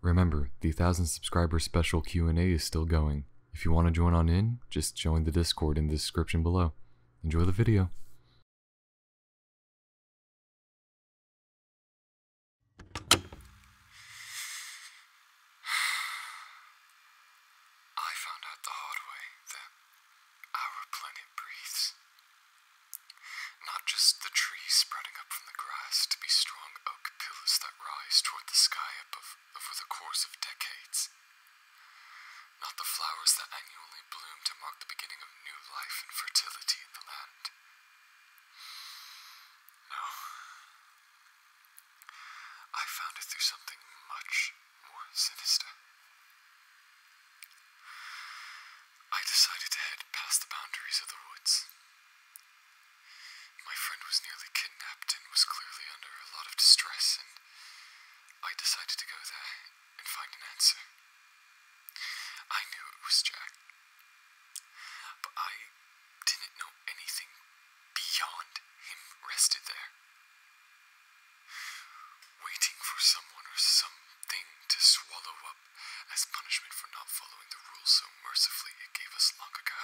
Remember, the 1000 subscriber special Q&A is still going. If you want to join on in, just join the Discord in the description below. Enjoy the video. I found out the hard way that our planet breathes. Not just the trees sprouting up from the grass to be strong oak pillars that rise toward the sky above, over the course of decades. Not the flowers that annually bloom to mark the beginning of new life and fertility in the land. No. I found it through something much more sinister. I decided to head past the boundaries of the woods. My friend was nearly kidnapped and was clearly under a lot of distress, and I decided to go there and find an answer. I knew it was Jack, but I didn't know anything beyond him rested there, waiting for someone or something to swallow up as punishment for not following the rules so mercifully it gave us long ago.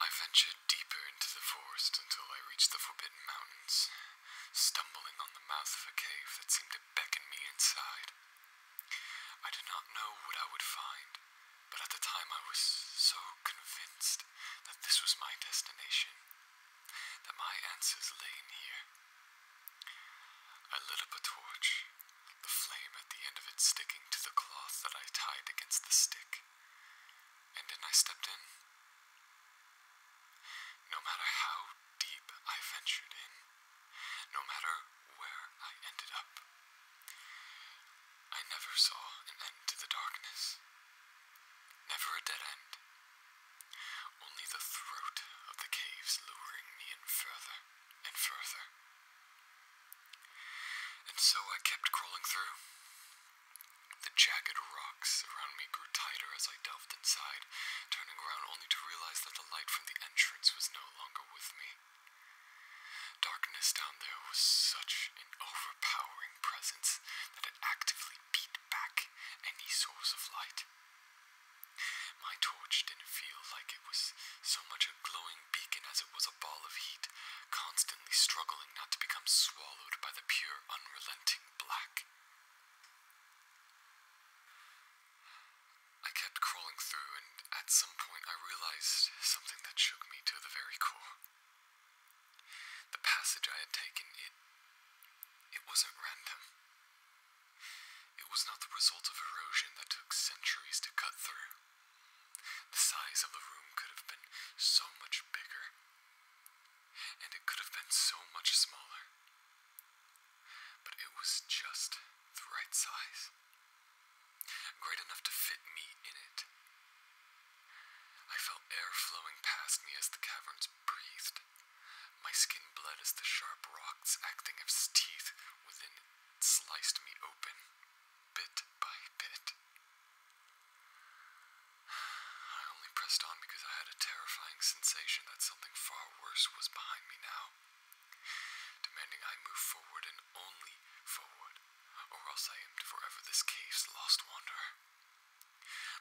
I ventured deeper into the forest until I reached the Forbidden Mountains, stumbling on the mouth of a cave that seemed to beckon me inside. I did not know what I would find, but at the time I was so convinced that this was my destination, that my answers lay in here. I lit up a torch, the flame at the end of it sticking to the cloth that I tied against the stick, and then I stepped in. No matter how deep I ventured in, no matter where I ended up, I never saw an end to the darkness. Never a dead end, only the throat of the caves luring me in further and further. And so I kept crawling through. The jagged rocks around me grew tighter as I delved inside, turning around only to realize that the light from the entrance was no longer with me. Darkness down there was such an overpowering presence that it actively beat back any source of light. My torch didn't feel like it was so much a glowing beacon as it was a ball of heat, constantly struggling not to become swallowed by the pure, unrelenting black. I kept crawling through, and at some point I realized something that shook me to the very core. The passage I had taken, it. it wasn't random. It was not the result of erosion that took centuries to cut through. The size of the room could have been so much bigger, and it could have been so much smaller. But it was just the right size, great enough to fit me in it. I felt air flowing past me as the caverns breathed. My skin bled as the sharp rocks, acting as teeth within sliced me open, bit by bit. I only pressed on because I had a terrifying sensation that something far worse was behind me now, demanding I move forward and only forward, or else I am forever this cave's lost wanderer.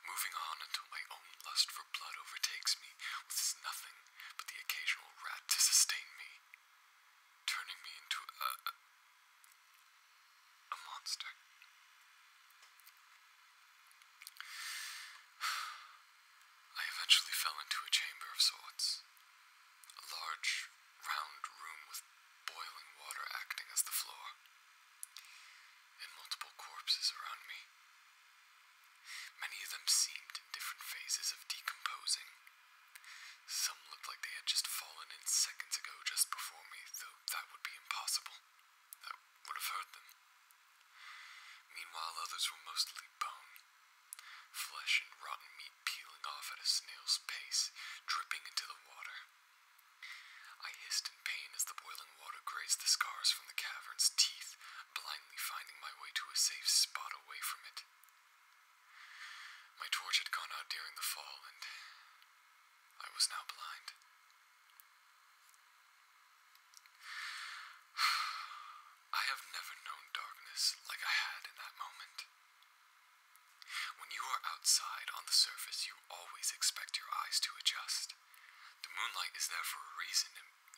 Moving on until my own lust for blood overtakes me with nothing but the occasional rat to sustain me, turning me into a. a, monster. I eventually fell into a chamber of sorts. A large, round room with boiling water acting as the floor, and multiple corpses around me. Many of them seemed in different phases of decomposing. Some looked like they had just fallen in seconds ago just before me, though that would be impossible. I would have heard them. Meanwhile, others were mostly bone. Flesh and rotten meat peeling off at a snail's pace, dripping into the water. I hissed in pain as the boiling water grazed the scars from the cavern's teeth, blindly finding my way to a safe spot away from it. My torch had gone out during the fall, and I was now blind. I have never known darkness like I had in that moment. When you are outside on the surface, you always expect your eyes to adjust. The moonlight is there for a reason,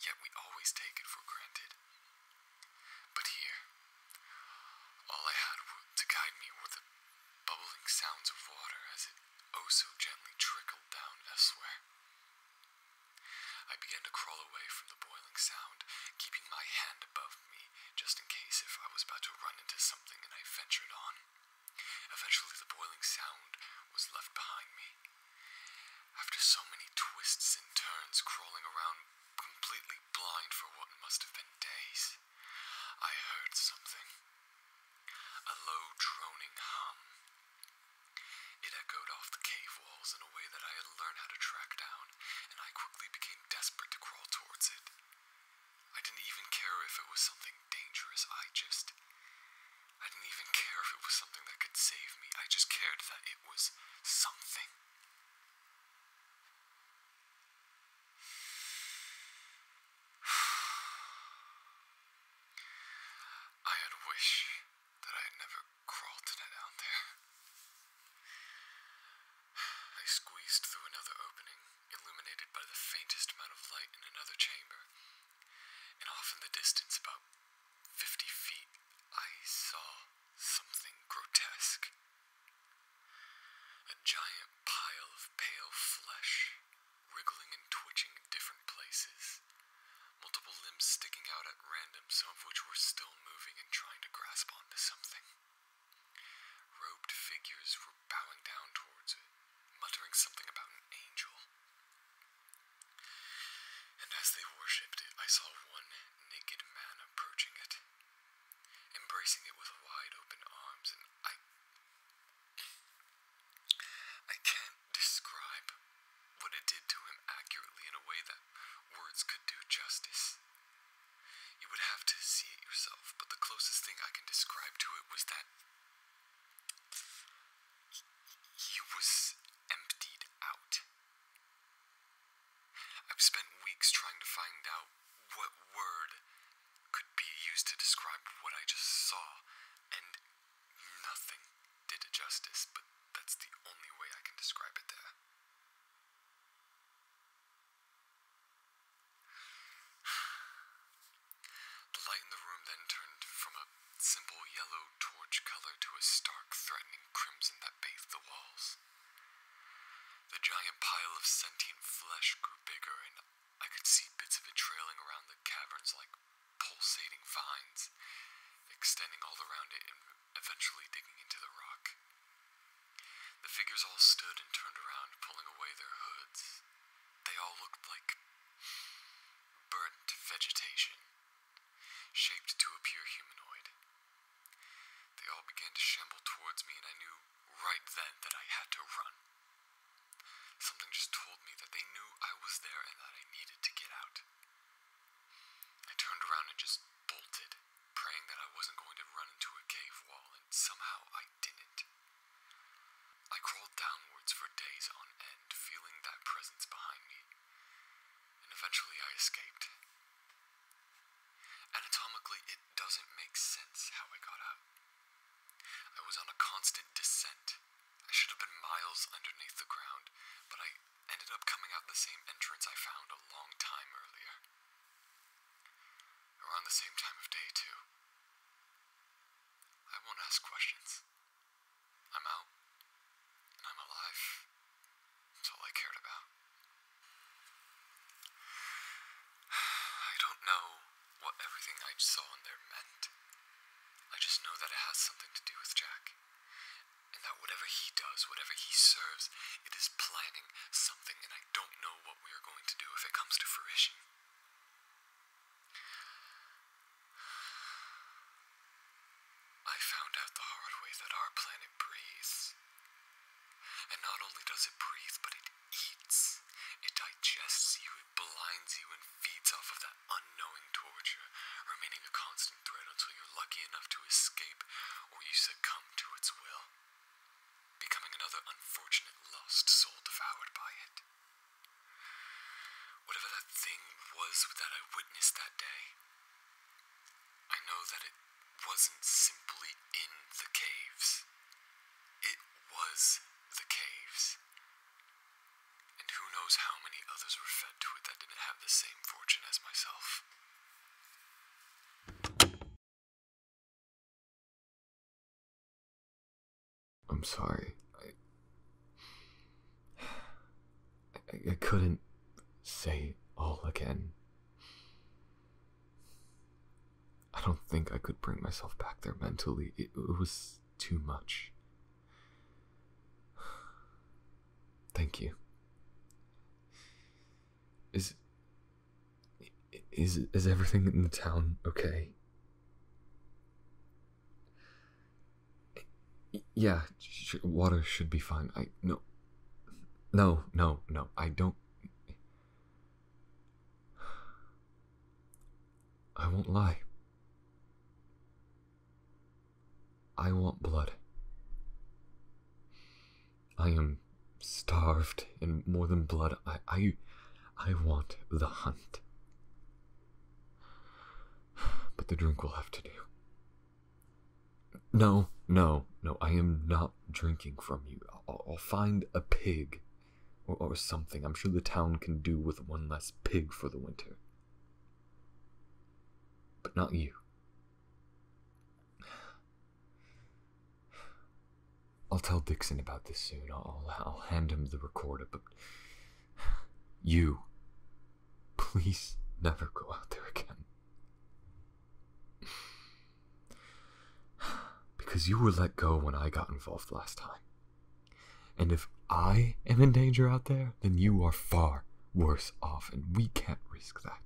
yet we always take it for granted. But here, all I had to guide me were the bubbling sounds of water as it oh so gently trickled down elsewhere. I began to crawl away from the boiling sound, keeping my hand above me just in case if I was about to run into something and I ventured on. Eventually, the boiling sound was left behind me, after so many twists and turns, crawling around completely blind for what must have been days, I heard something. A low droning hum. It echoed off the cave walls in a way that I had learned how to track down, and I quickly became desperate to crawl towards it. I didn't even care if it was something dangerous, I just I didn't even care if it was something that could save me. I just cared that it was something. I had wish that I had never crawled to that down there. I squeezed through another opening, illuminated by the faintest amount of light in another chamber, and off in the distance, about fifty feet, I saw something grotesque. A giant pile of pale flesh, wriggling and twitching in different places, multiple limbs sticking out at random, some of which were still moving and trying to grasp onto something. Robed figures were bowing down towards it, muttering something about an angel. And as they worshipped it, I saw one naked man approaching it, embracing it with wide open arms, and I. I can't describe what it did to him accurately in a way that words could do justice. You would have to see it yourself, but the closest thing I can describe to it was that he was emptied out. I've spent weeks trying to find out what word could be used to describe what I just saw, and nothing did it justice, but that's the only way I can describe it there. The light in the room then turned from a simple yellow torch color to a stark, threatening crimson that bathed the walls. The giant pile of sentient flesh grew bigger, and I could see bits of it trailing around the caverns like pulsating vines, extending all around it and eventually digging into the rock. The figures all stood and turned around, pulling away their hoods. They all looked like burnt vegetation shaped to appear humanoid. They all began to shamble towards me, and I knew right then that I had to run. Something just told me that they knew I was there and that I needed to get out. I turned around and just bolted, praying that I wasn't going to run into a cave wall, and somehow I didn't. I crawled downwards for days on end, feeling that presence behind me and eventually I escaped. Anatomically, it doesn't make sense how I got out. I was on a constant descent. I should have been miles underneath the ground, but I ended up coming out the same entrance I found a long time earlier. Around the same time of day, too. I won't ask questions. I'm out, and I'm alive. That's all I cared about. I don't know what everything I saw in there meant. I just know that it has something to do with Jack. And that whatever he does, whatever he serves, it is planning something, and I don't know what we are going to do if it comes to fruition. I found out the hard way that our planet breathes. And not only does it breathe, but it eats. It digests you, it blinds you, and feeds off of that unknowing torture, remaining a constant threat until you're lucky enough to escape or you succumb to its will, becoming another unfortunate lost soul devoured by it. Whatever that thing was that I witnessed that day, I know that it wasn't simply in the caves. It was the caves. And who knows how many others were fed to it that didn't have the same fortune as myself. I'm sorry. I, I, couldn't say all again. I don't think I could bring myself back there mentally. It, it was too much. Thank you. Is is is everything in the town okay? Yeah, water should be fine. I no. No, no, no. I don't I won't lie. I want blood. I am starved and more than blood. I I I want the hunt. But the drink will have to do. No, no, no, I am not drinking from you. I'll, find a pig or, something. I'm sure the town can do with one less pig for the winter. But not you. I'll tell Dixon about this soon. I'll hand him the recorder, but you Please never go out there again. because you were let go when I got involved last time. And if I am in danger out there, then you are far worse off, and we can't risk that.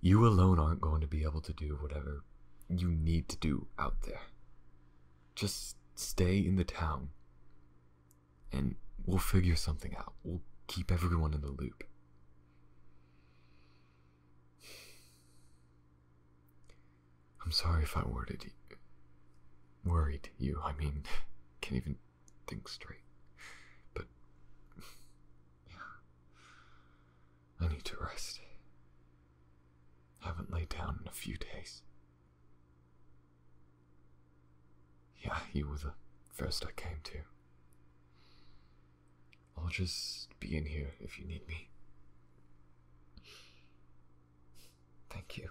You alone aren't going to be able to do whatever you need to do out there. Just stay in the town. And we'll figure something out. We'll keep everyone in the loop. I'm sorry if I worded Worried you, I mean, can't even think straight. But. Yeah. I need to rest. I haven't laid down in a few days. Yeah, you were the first I came to. I'll just be in here if you need me. Thank you.